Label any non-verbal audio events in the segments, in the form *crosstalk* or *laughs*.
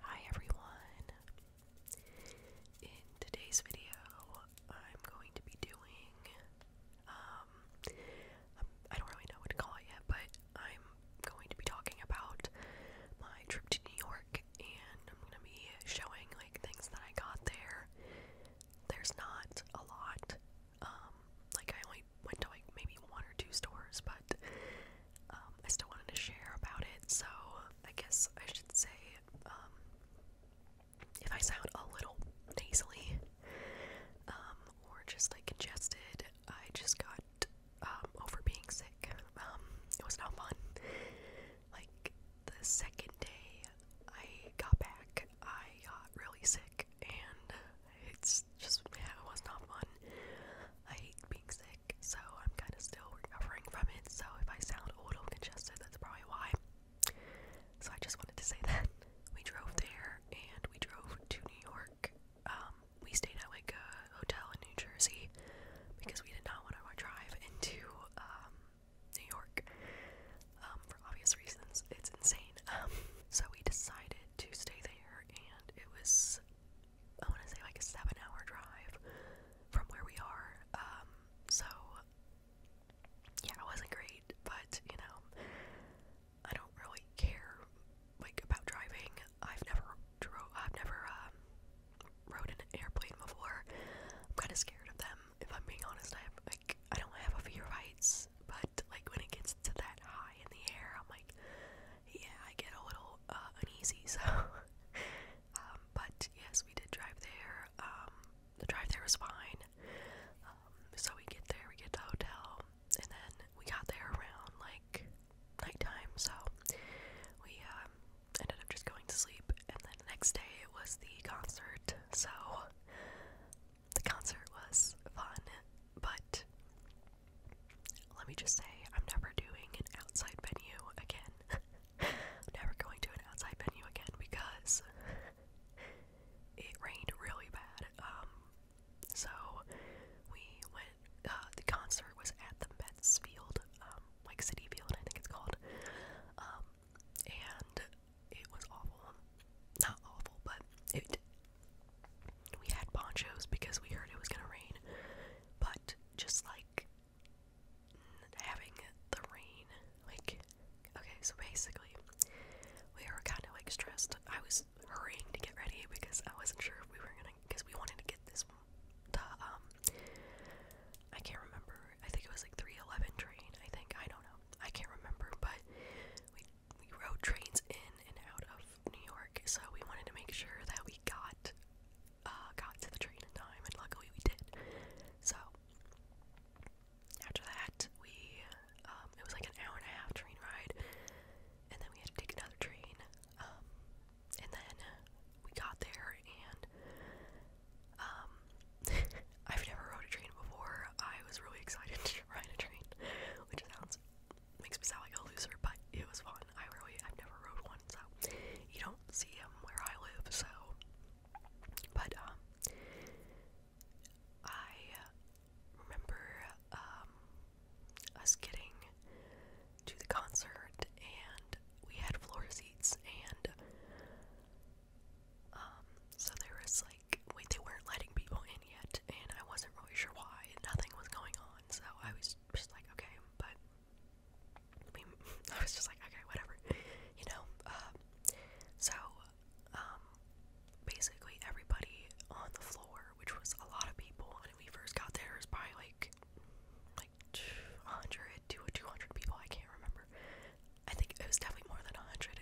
Hi everyone! In today's video, I'm going to be doing, um, um, I do not really know what to call it yet, but I'm going to be talking about my trip to New York and I'm going to be showing like things that I got there. There's not a lot, um, like I only went to like maybe one or two stores, but um, I still wanted to share about it, so I guess I should say um, if I sound a little nasally um, or just like congested, I just got over being sick. it was not fun. Like the second day I got back, I got really sick, and it's just yeah, it was not fun. I hate being sick, so I'm kind of still recovering from it. So if I sound auto congested, that's probably why. So I just wanted to say *laughs* that we drove there and we drove to New York. Um, we stayed at like a hotel in New Jersey because we did not want to drive into um, New York um, for obvious reasons. It's insane. *laughs* so we decided to stay there, and it was I want to say like a seven-hour drive from where we are. Um, so yeah, it wasn't great, but you know, I don't really care like about driving. I've never drove. I've never um, rode an airplane before. I'm kind of scared of them, if I'm being honest. I have like I don't have a fear of heights, but like when it gets to that high in the air, I'm like, yeah, I get a little uh, uneasy. *laughs* So um, but yes, we did drive there. Um, the drive there was fine. Um, so we get there, we get to the hotel, and then we got there around like night time. So we ended up just going to sleep, and then next day it was the concert. So the concert was fun, but let me just say, I'm never doing an outside venue again. I'm *laughs* never going to an outside venue again because it rained really bad. Um, so we went. Uh, the concert was at the Mets Field, um, like City Field, I think it's called. Um, and it was awful. Not awful, but it. We had ponchos because we heard it was gonna rain, but just like having the rain. Like, okay, so basically, we were kind of like stressed. I was hurrying to get ready because I wasn't sure if we were gonna, because we wanted to get this, the, um, I can't remember. I think it was like 311 train. I think, I don't know. I can't remember, but we, we rode trains in and out of New York, so we wanted to make sure that we got uh, got to the train in time, and luckily we did. So after that, we um, it was like an hour and a half train ride, and then we had to take another train. Um, and then we got there, and um, *laughs* I've never rode a train before. I was really excited *laughs* to ride a train, which sounds makes me sound like a loser, but it was fun one. I really, I've never rode one, so you don't see them where I live, so. But, um, I remember, um, us getting to the concert and we had floor seats and, um, so there was like, wait, they weren't letting people in yet and I wasn't really sure why. Nothing was going on, so I was just like, okay, but *laughs* I was just like, okay, whatever, you know. Um, so, um, basically everybody on the floor, which was a lot of people, and we first got there, it was probably like, like 100 to 200 people. I can't remember. I think it was definitely more than 100,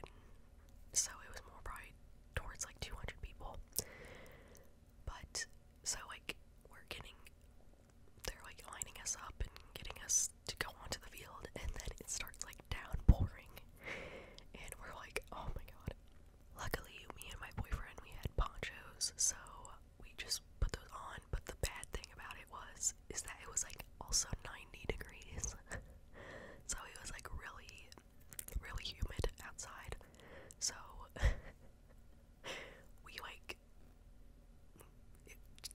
so it was more probably towards like 200 people. But so like we're getting they're like lining us up and getting us to go onto the field, and then it starts like downpouring, and we're like, oh my god. Luckily, me and my boyfriend we had ponchos, so we just put those on. But the bad thing about it was is that it was like also 90 degrees, *laughs* so it was like really, really humid outside. So *laughs* we like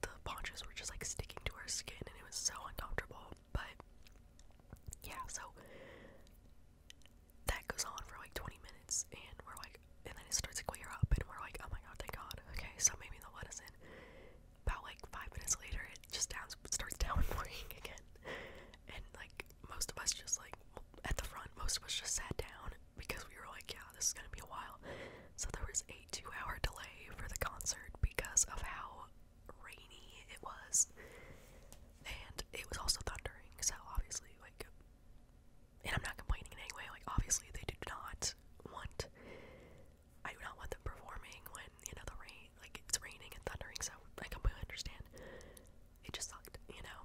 the ponchos were just like sticking to our skin and it was so uncomfortable. But yeah, so that goes on for like 20 minutes and we're like, and then it starts to clear up and we're like, oh my god, thank god. Okay, so maybe the will is us in. About like five minutes later, it just down, starts *laughs* downpouring again. And like most of us just like at the front, most of us just sat down because we were like, yeah, this is gonna be a while. So there was a two hour delay for the concert because of how rainy it was. And it was also thundering, so obviously, like, and I'm not complaining in any way, like, obviously, they do not want, I do not want them performing when, you know, the rain, like, it's raining and thundering, so I completely understand. It just sucked, you know?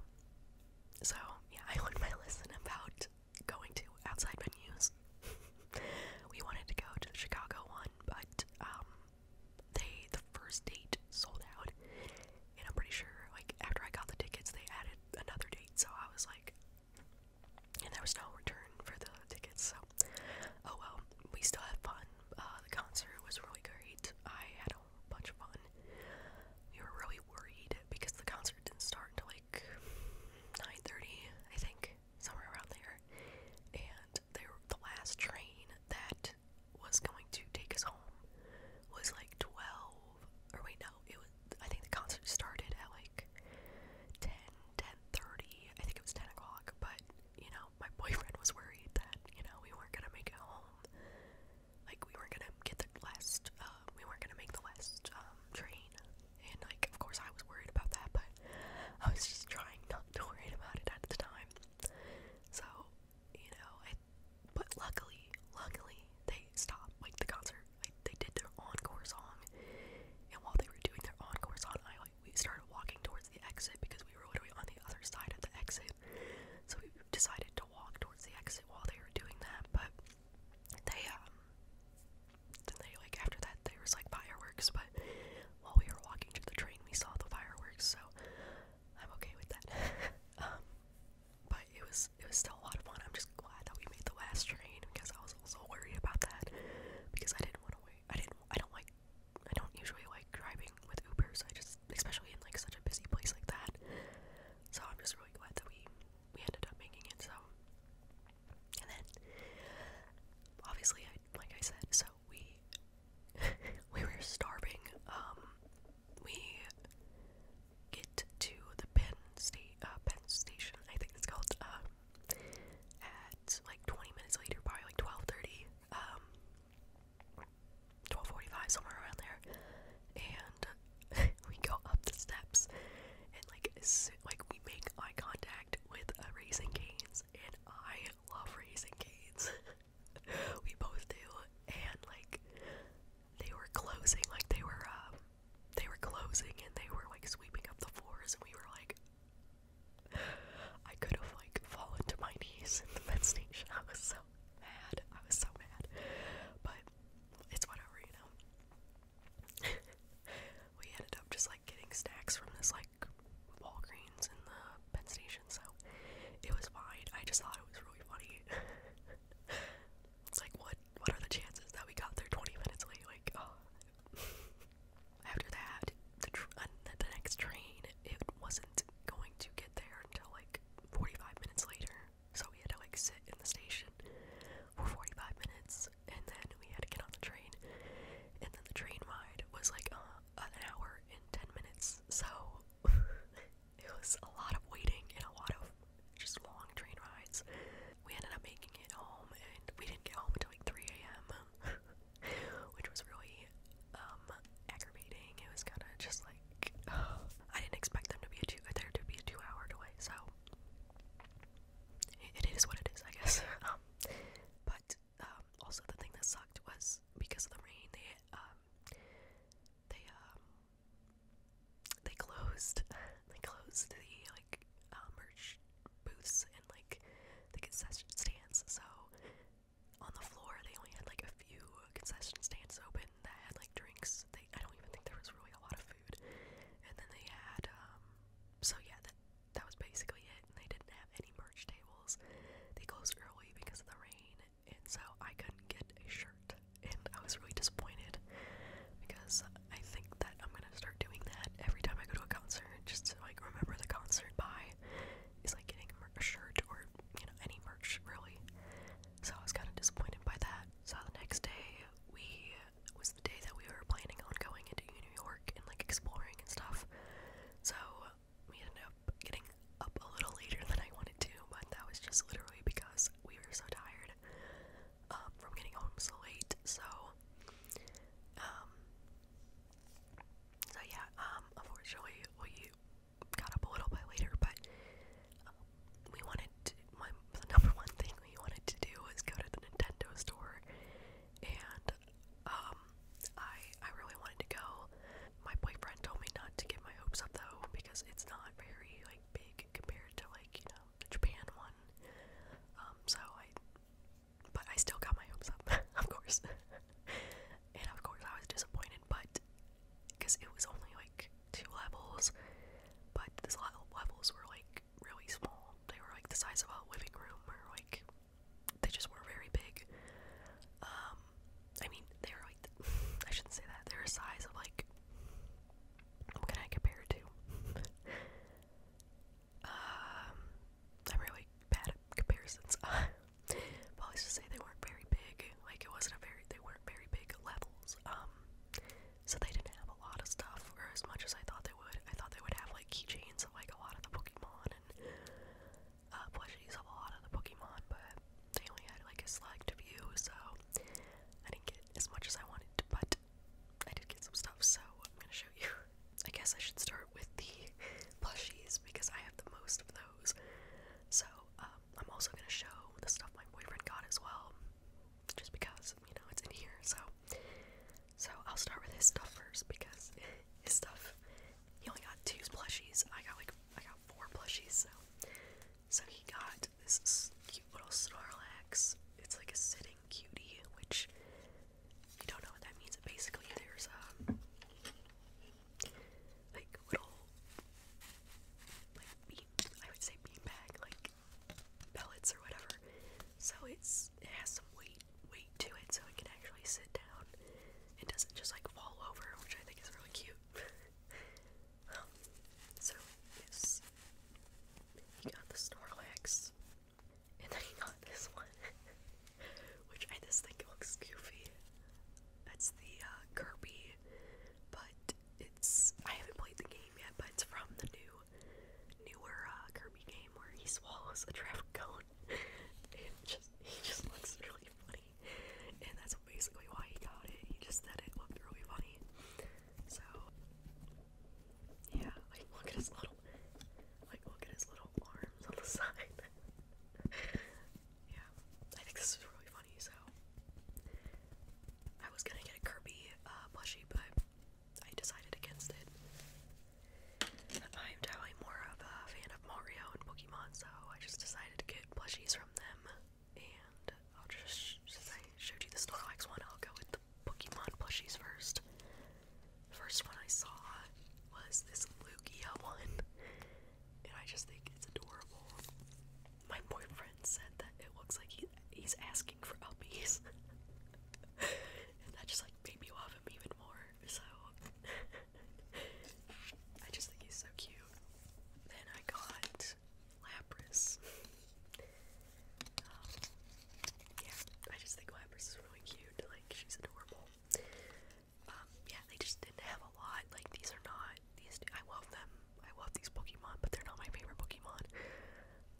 So, yeah, *laughs* I learned my lesson about going to outside venues. *laughs* we wanted to go to the Chicago one, but um, they the first date sold out, and I'm pretty sure like after I got the tickets, they added another date. So I was like, and there was no return for the tickets. So oh well, we still had fun. Uh, the concert was really great. I had a bunch of fun. We were really worried because the concert concert didn't start until like 9:30, I think, somewhere around there. And they were, the last train that was going to take us home was like 12 or wait no it was I think the concert started at like 10 10:30 I think it was 10 o'clock but you know my *laughs* boyfriend was worried that you know we weren't gonna make it home like we weren't gonna get the last uh, we weren't gonna make the last um, train and like of course I was worried about that but I was just trying not to worry about it at the time so you know but luckily luckily they stopped like the concert they did their encore song and while they were doing their encore song I like we started walking towards the exit because we were literally on the other side of the exit so we decided to walk towards the exit while they were doing that but they um then they like after that there was like fireworks but while we were walking to the train we saw the fireworks so I'm okay with that. *laughs* um but it was it was still a lot of fun. I'm just glad that we made the last train because I was also worried about that because I didn't want to wait. I didn't I don't like I don't usually like driving with Ubers. I just especially in like such a busy place like that. So I'm just really glad that we we ended up making it, so. And then, obviously, like I said, so we, *laughs* we were starving, um, we get to the Penn State, uh, Penn Station, I think it's called, um, at, like, 20 minutes later, probably, like, 12.30, 12.45, um, somewhere around there, and *laughs* we go up the steps, and like like we make eye contact with uh, Raising Canes, and I love Raising Canes. *laughs* we both do, and like they were closing, like they were um, they were closing, and they were like sweeping up the floors, and we were like. I could have like fallen to my knees in the med station. *laughs* I was so mad. I was so mad. But it's whatever, you know. *laughs* we ended up just like getting snacks from this like Walgreens in the Penn Station, so it was fine. I just thought it was really funny. *laughs* it's like what what are the chances that we got there 20 minutes late? Like, oh. *laughs* after that, uh, the, the next train it wasn't going to get there until like 45 minutes later, so we had to like sit in the station for 45 minutes, and then we had to get on the train, and then the train ride was like uh, an hour and 10 minutes, so *laughs* it was a lot of waiting and a lot of just long train rides. We ended up making it home, and we didn't get home until like 3 a.m., *laughs* which was really um, aggravating. It was kind of just like, uh, *sighs* I didn't expect them to be a two, there to be a two hour delay, so it is what it is, I guess. *laughs* Um, but um, also the thing that sucked was because of the rain, they um, they um, they closed *laughs* they closed the like uh, merch booths and like the concession stands. So on the floor, they only had like a few concession stands open that had like drinks was they I don't even think there was really a lot of food. And then they had um so yeah, that that was basically it. And they didn't have any merch tables. They closed early because of the rain, and so I couldn't get a shirt. And I was really disappointed because I think that I'm gonna start doing that every time I go to a concert, just to like remember the concert by is like getting a shirt or you know any merch really. So I was kind of disappointed by that. So the next day we was the day that we were planning on going into New York and like exploring and stuff. So we ended up getting up a little later than I wanted to, but that was just literally because we were so tired um, from getting home so late. So, um, so yeah, um, unfortunately we got up a little bit later, but um, we wanted to, my the number one thing we wanted to do was go to the Nintendo store, and um, I I really wanted to go. My boyfriend told me not to get my hopes up though because it's not very like big compared to like you know the Japan one. Um, so I, but I still got my hopes up, *laughs* of course, and of course I was disappointed, but because it was only like two levels, but these levels were like really small. They were like the size of a living room, or like they just were very big. Um, I mean, they were like *laughs* I shouldn't say that. They were a size of like what can I compare it to? *laughs* Um, i really bad comparisons. but *laughs* let just say they weren't very big. Like it wasn't a very they weren't very big levels. Um, so they didn't have a lot of stuff, or as much as I thought they would. I thought they would have like keychains of like a lot of the Pokemon and uh, plushies of a lot of the Pokemon, but they only had like a select view, so I didn't get as much as I wanted, to, but I did get some stuff, so I'm gonna show you. I guess I should start with the plushies because I have the most of those. So um, I'm also gonna show the stuff my boyfriend got as well just because you know it's in here. So, so I'll start with his stuff first because *laughs* his stuff. He only got two plushies. I got like I got four plushies. So, so he got this cute little Snorlax. It's like a sitting cutie, which you don't know what that means. Basically, there's a um, like little like bean. I would say beanbag like pellets or whatever. So it's it has some weight weight to it, so it can actually sit down. It doesn't just like fall over, which I think is really cute. *laughs* Um, so this he got the Snorlax, and then he got this one, *laughs* which I just think looks goofy. That's the uh, Kirby, but it's I haven't played the game yet, but it's from the new newer uh, Kirby game where he swallows a traffic *laughs* cone. and just he just looks really funny, and that's basically why he got it. He just said it looked really funny. So yeah, like look at his little, like look at his little arms on the *laughs* side. yeah, I think this is really funny. So I was gonna get a Kirby uh, plushie, but I decided against it. I'm definitely more of a fan of Mario and Pokemon, so I just decided to get plushies from them. And I'll just, since I showed you the Snorlax one, I'll go with the Pokemon plushies first. First one I saw was this Lugia one, and I just think it's adorable. My boyfriend said that it looks like he he's asking for uppies. and *laughs* that just like made me love him even more. So *laughs* I just think he's so cute. Then I got Lapras. Um, yeah, I just think Lapras is really cute. Like she's adorable. Um, yeah, they just didn't have a lot. Like these are not these. I love them. I love these Pokemon, but they're not my favorite Pokemon.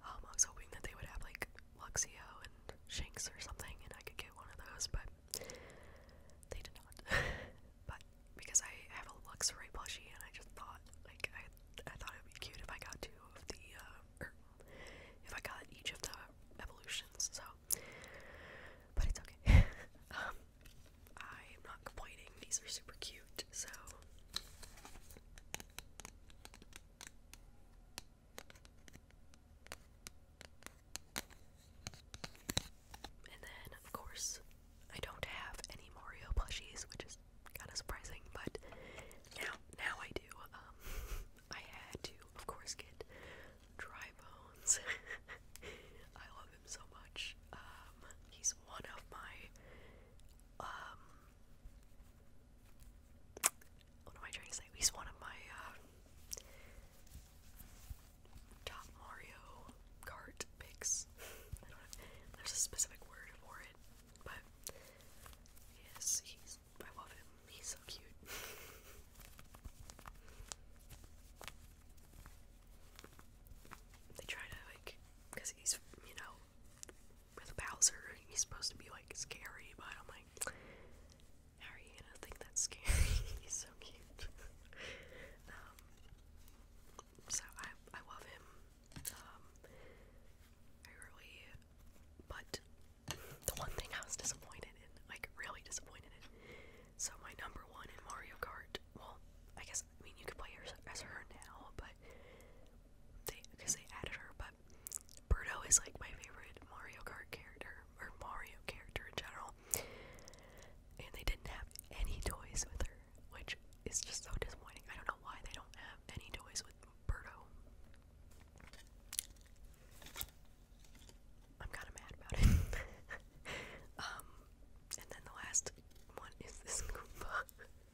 Um, I was hoping that they would have like Luxio and Shinx or something, and I could get one of those, but they did not. *laughs* but because I have a Luxray plushie, and I just thought like I I thought it would be cute if I got two of the uh, er, if I got each of the evolutions. So, but it's okay. I *laughs* am um, not complaining. These are super cute so and then, of course, I don't have any Mario plushies, which is kind of surprising, but now, now I do. Um, *laughs* I had to, of course, get Dry Bones. *laughs* I love him so much. Um, he's one of my, um, what am I trying to say? He's one of my uh, top Mario Kart picks. *laughs* I don't know. There's a specific word for it, but yes, he's. I love him. He's so cute. *laughs* they try to like, cause he's you know with Bowser, he's supposed to be like scary, but I'm like, how are you gonna think that's scary? *laughs* he's so cute. *laughs* um, so I I love him. Um, I really, but the one thing I was disappointed in, like really disappointed in. So my number one in Mario Kart. Well, I guess I mean you could play as her now, but they because they added her. But Birdo is like my favorite Mario Kart character or Mario character in general. And they didn't have any toys with her, which is just so disappointing. I don't know why they don't have any toys with Birdo. I'm kind of mad about it. *laughs* um, and then the last one is this Goomba. *laughs*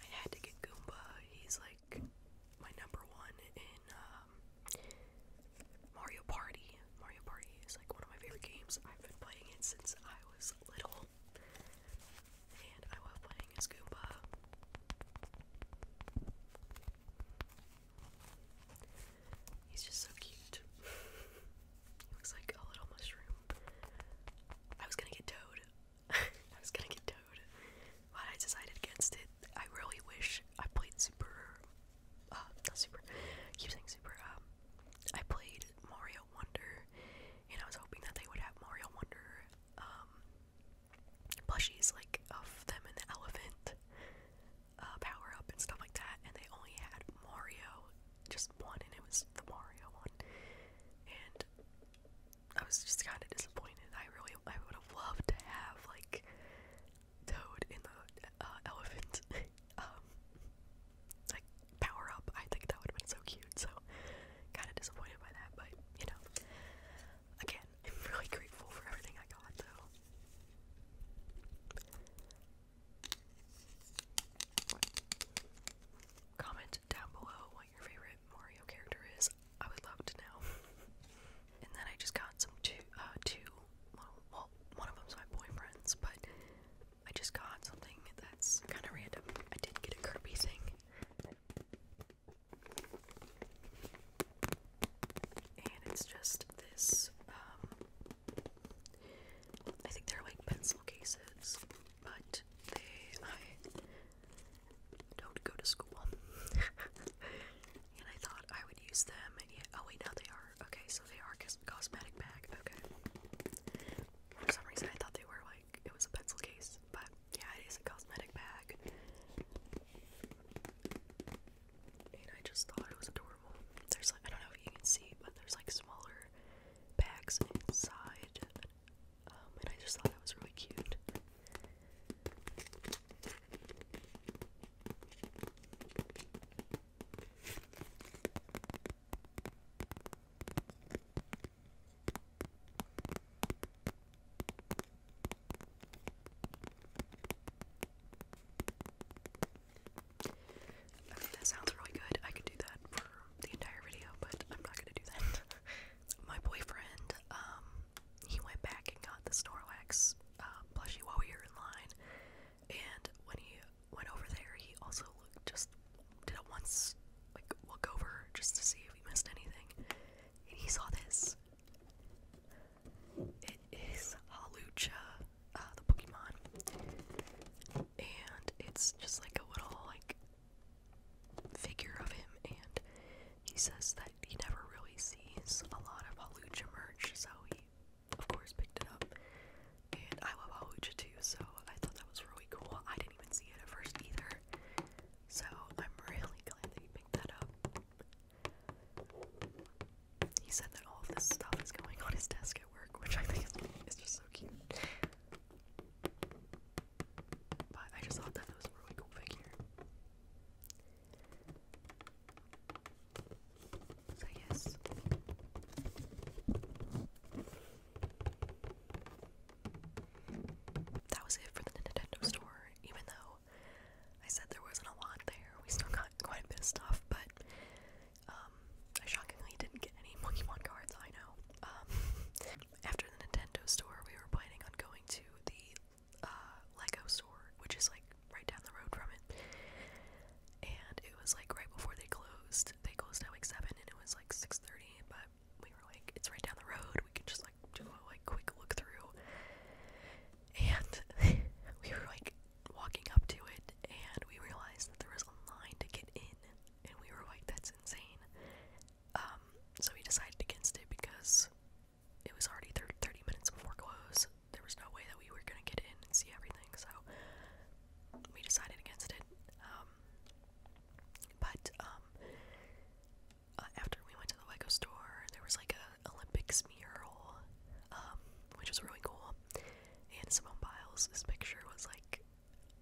I had to get Goomba. He's like my number one in um, Mario Party. Mario Party is like one of my favorite games. I've been playing it since I was little. And I love playing as Goomba. He's just so cute. *laughs* he looks like a little mushroom. I was gonna get Toad. *laughs* I was gonna get Toad, but I decided against it. I really wish I played Super. Uh, not Super. I keep saying Super. Um, I played Mario Wonder, and I was hoping that they would have Mario Wonder um, plushies like of them and the elephant uh, power up and stuff like that, and they only had Mario, just one, and it was the Mario one. And I was just kind of disappointed. I really, I would have loved to have like Toad in the uh, elephant, *laughs* um, like power up. I think that would have been so cute. So kind of disappointed by that, but you know, again, *laughs* really grateful for everything I got though. Comment down below what your favorite Mario character is. I would love to know. *laughs* and then I just got some two, uh, well, one of them's my boyfriend's, but I just got something that's kind of random. I did get a Kirby thing. And it's just this, um, I think they're like pencil cases but they, I don't go to school. *laughs* and I thought I would use them, oh wait, now they are. Okay, so they are cosmetic bag. Okay. For some reason, I thought they were like it was a pencil case, but yeah, it is a cosmetic bag. And I just thought it was adorable. There's like I don't know if you can see, but there's like smaller bags inside um, and I just thought it was really cute. I mean, that sounds really good. I could do that for the entire video, but I'm not gonna do that. *laughs* my boyfriend, um, he went back and got the Snorlax uh, plushie while we were in line, and when he went over there, he also looked just did a once like look over just to see if he missed anything, and he saw this. It is Halucha, uh, the Pokemon, and it's just like a little like figure of him, and he says that he never really sees a lot of Halucha merch, so he, of course, picked it up. And I love Halucha too, so I thought that was really cool. I didn't even see it at first either, so I'm *laughs* really glad that he picked that up. He said that all of this stuff is going on his desk at work, which I think is, is just so cute. But I just thought that was a really cool figure. So yes. That was it for the Nintendo store, even though I said there wasn't a lot there. We still got *laughs* quite a bit of stuff, but um, I shockingly didn't get any Pokemon cards, I know. Um, after the Nintendo store, we were planning on going to the uh, Lego store, which is like right down the road from it. And it was like right before they closed. They closed at like seven, and it was like six thirty. But we were like, it's right down the road. We can just like do a like quick look through. And *laughs* we were like walking up to it, and we realized that there was a line to get in, and we were like, that's insane. Um, so we decided against it because it was already 30 minutes before close. There was no way that we were going to get in and see everything, so we decided against it. Um, but um, uh, after we went to the Lego store, there was like a Olympics mural, which was really cool. And Simone Biles' picture was like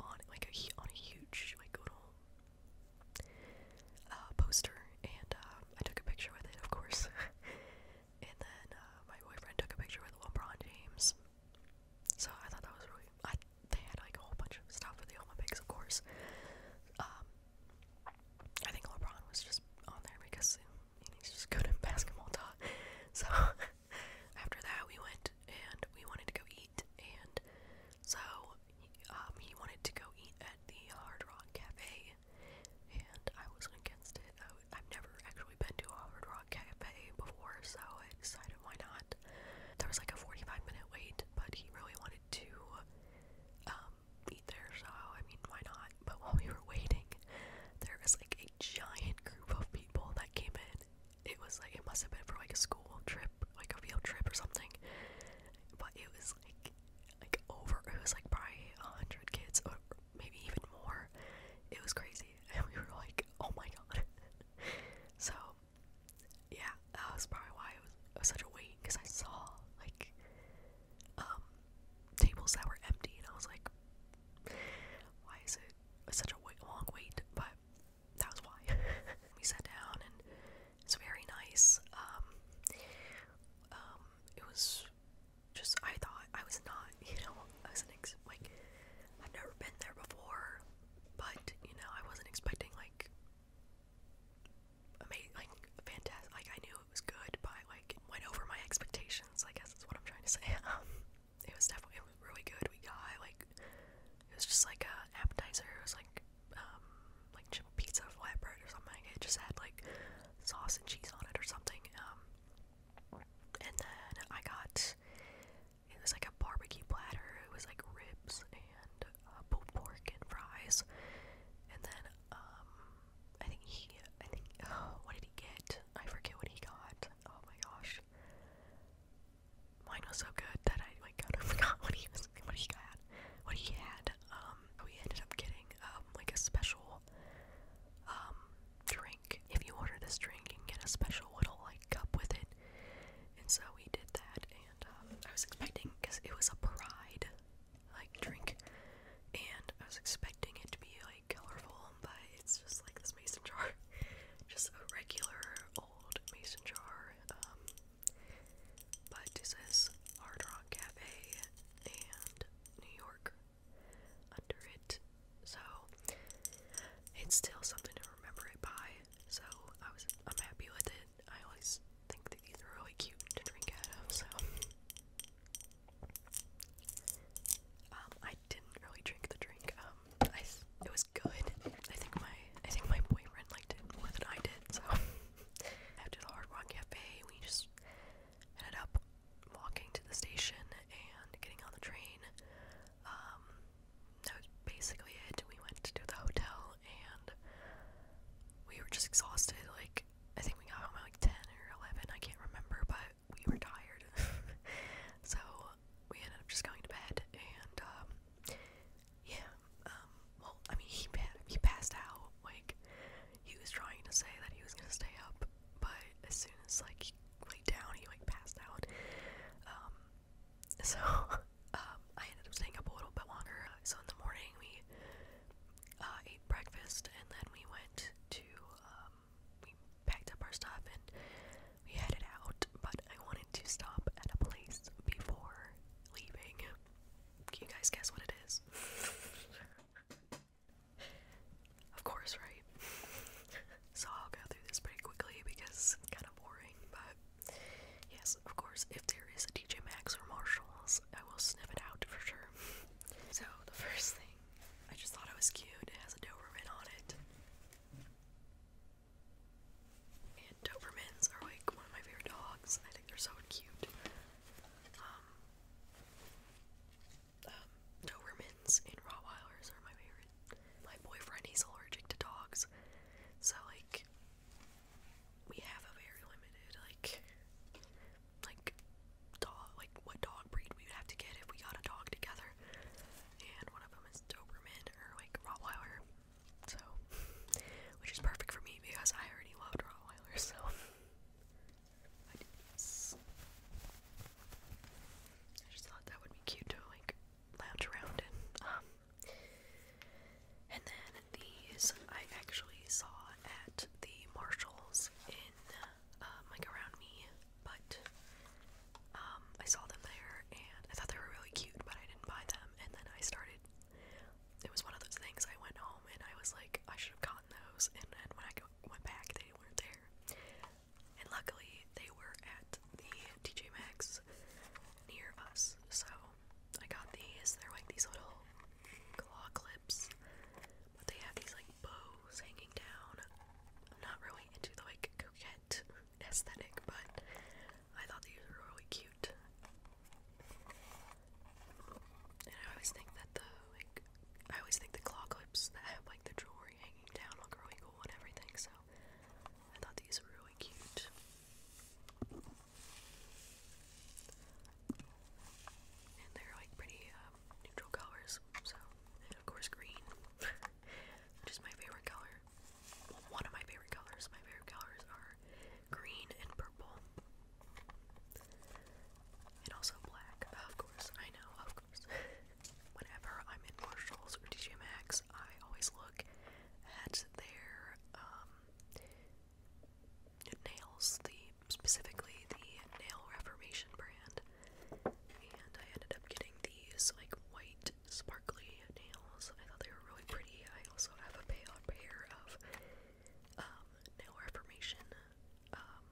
on like a on a huge like little poster, and uh, I took a picture with it, of course. *laughs* and then uh, my boyfriend took a picture with LeBron James. So I thought that was really. I they had like a whole bunch of stuff for the Olympics, of course. Um, I think LeBron was just on there because he's just good at *laughs* basketball, duh. So *laughs* after that, we went and we wanted to go eat and so um, he wanted to go eat at the Hard Rock Cafe, and I wasn't against it. I w I've never actually been to a Hard Rock Cafe before, so I decided why not. There was like a 45 minute wait, but he really wanted to um, eat there, so I mean, why not? But while we were waiting, there was like a giant group of people that came in. It was like, it must have been for like a school trip like a field trip or something. But it was like like over it was like probably a hundred kids or maybe even more. It was crazy. *laughs* And we were like, oh my god. *laughs* so yeah, that was probably why it was, it was such a wait because I saw like um tables that were empty and I was like why is it such a wait, long wait? But that was why. *laughs* we sat down and it's very nice. Um, um, it was just I thought I was not, *laughs* you know, I was an like I've never been there before, but you know, I wasn't expecting like amazing, like fantastic. Like I knew it was good, but like went over my expectations. I guess that's what I'm trying to *laughs* say. Um, it was definitely it was really good. We got like it was just like a appetizer. It was like um, like pizza flatbread or something. It just had like sauce and cheese on it or something. Um, and then I got it was like a barbecue platter. It was like ribs and uh, pulled pork and fries. And then um, I think he, I think, *sighs* what did he get? I forget what he got. Oh my gosh. Mine was so good that I like kind of *laughs* forgot what he was, what he got, what he had. Um, we ended up getting um like a special um drink. If you order this drink, you get a special little like cup with it. And so we did that, and um, I was expecting because it was a pride like drink, and I was expecting it to be like colorful, but it's just like this mason jar, *laughs* just a regular old mason jar. Um, but this is Hard Rock Cafe and New York under it. So it's still something to remember it by. So I was I'm happy with it. I always think that these are really cute to drink out of, so um, I didn't really drink the drink. Um, it was good. I think my I think my boyfriend more than I did, so *laughs* after the Hard Rock Cafe, we just ended up walking to the station and getting on the train. Um, that was basically it. We went to the hotel and we were just exhausted. Like, I think we got home at like 10 or 11, I can't remember, but we were tired. *laughs* so, we ended up just going to bed and um, yeah, um, well, I mean, he, he passed out, like, he was trying to say that he was gonna stay up, but as soon as, like, he laid down, he, like, passed out, um, so, *laughs* um, I ended up staying up a little bit longer, so in the morning, we, uh, ate breakfast, and then we went to, um, we packed up our stuff, and we headed out, but I wanted to stop at a place before leaving, can you guys guess what it is? of course, right? so I'll go through this pretty quickly because it's kind of boring, but yes, of course, if there is a DJ Maxx or Marshalls, I will sniff it out for sure. so the first thing, I just thought it was cute. It has a Doberman on it. And Dobermans are like one of my favorite dogs. I think they're so cute. Um, um, Dobermans and Rottweilers are my favorite. My boyfriend, he's allergic to dogs. So like we have a very limited like like dog like what dog breed we would have to get if we got a dog together. And one of them is Doberman or like Rottweiler. So, which is perfect for me because I already loved Rottweilers, so *laughs* I just thought that would be cute to like lounge around in. Um, and then these I actually saw at the Marshalls in um, like around me, but um, I saw them there and I thought they were really cute, but I didn't buy them. And then I started it was one of those things I went home and I was like, I should have gotten those. And then when I go went back, they weren't there. And luckily, they were at the TJ Maxx near us. So I got these. They're like these little claw clips, but they have these like bows hanging down. I'm not really into the like coquette aesthetic, but I thought these were really cute. And I always think that the like I always think the claw clips that have like the jewelry hanging down look really cool and everything, so I thought these were really cute. And they're like pretty um, neutral colors, so of course green, *laughs* which is my favorite color one of my favorite colors. My favorite colors are green and purple. And also black, of course. I know, of course. *laughs* Whenever I'm in Marshalls or DJ Maxx, I always look at their um, nails, the specifically the Nail Reformation brand. And I ended up getting these like white sparkly nails. I thought they were really pretty. I also have a pair of um, nail reformation um,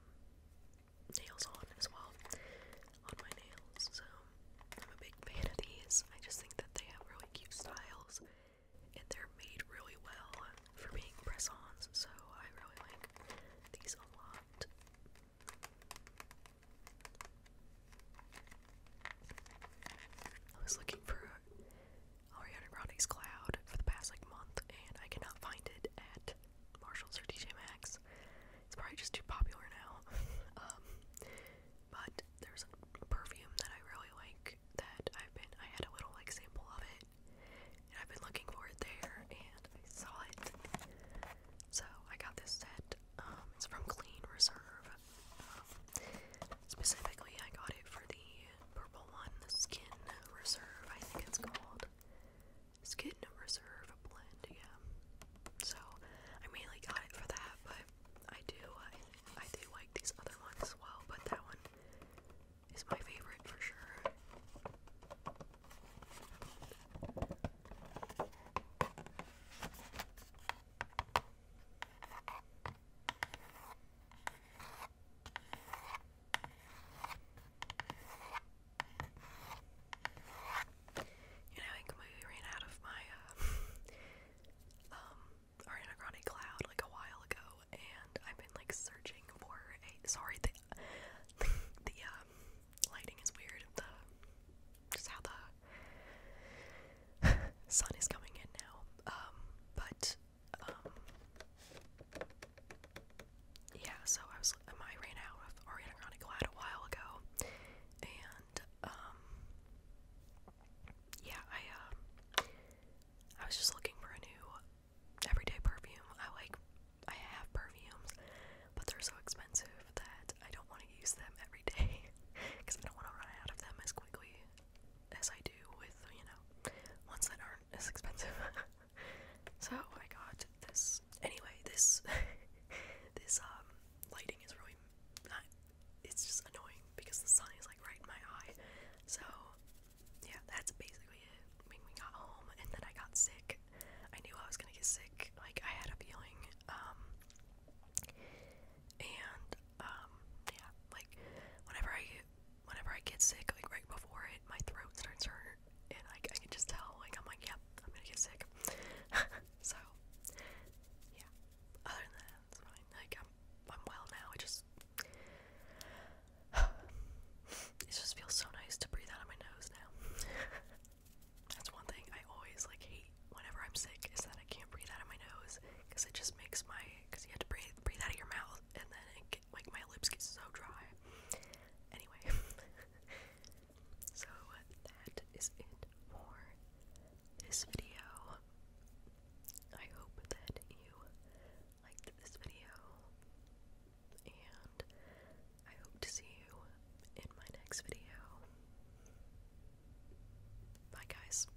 nails on as well on my nails. So I'm a big fan of these. I just think that they have really cute styles and they're made really well for being press-ons. So I really like these a lot. I was looking for Ariana Grande's Cloud for the past like month, and I cannot find it at Marshalls or DJ Maxx. It's probably just too popular now. *laughs* Um, but there's a perfume that I really like that I've been I had a little like sample of it, and I've been looking for it there, and I saw it. So I got this set. Um, it's from Clean Reserve specifically, I got it for the purple one, the Skin Reserve, I think it's called. Skin Reserve Blend, yeah. So, I mainly got it for that, but I do, I, uh, I do like these other ones as well, but that one is my favorite for sure. You know, I ran out of my, uh, *laughs* um, Ariana Cloud like a while ago, and I've been like searching for a. Sorry, the, *laughs* the, um, lighting is weird. The, just how the *laughs* sun is coming in now. Um, but and um yeah, so I was um, I ran out of Ariana Grande Glad a while ago, and um yeah I uh, I was just looking for a new everyday perfume. I like I have perfumes, but they're so expensive that I don't want to use them every day because *laughs* I don't want to run out of them as quickly as I do with, you know, ones that aren't as expensive. *laughs* so I got this. Anyway, this *laughs* this um lighting is really it's just annoying because the sun is like right in my eye. So yeah, that's basically it. When we got home and then I got sick. I knew I was gonna get sick. Like I had a feeling. Um, and um, yeah, like whenever I whenever I get sick, like right before it, my throat starts hurt, and I, I can just tell, like I'm like, yep, I'm gonna get sick. *laughs* so yeah, other than that, it's fine. Like I'm I'm well now. I just *sighs* it just feels so nice to breathe out of my nose now. *laughs* That's one thing I always like hate whenever I'm sick is that I can't breathe out of my nose because it just makes my because you have to breathe breathe out of your mouth, and then it get, like my lips get so dry. Anyway, *laughs* so that is it for this video. I hope that you liked this video, and I hope to see you in my next video. Bye, guys.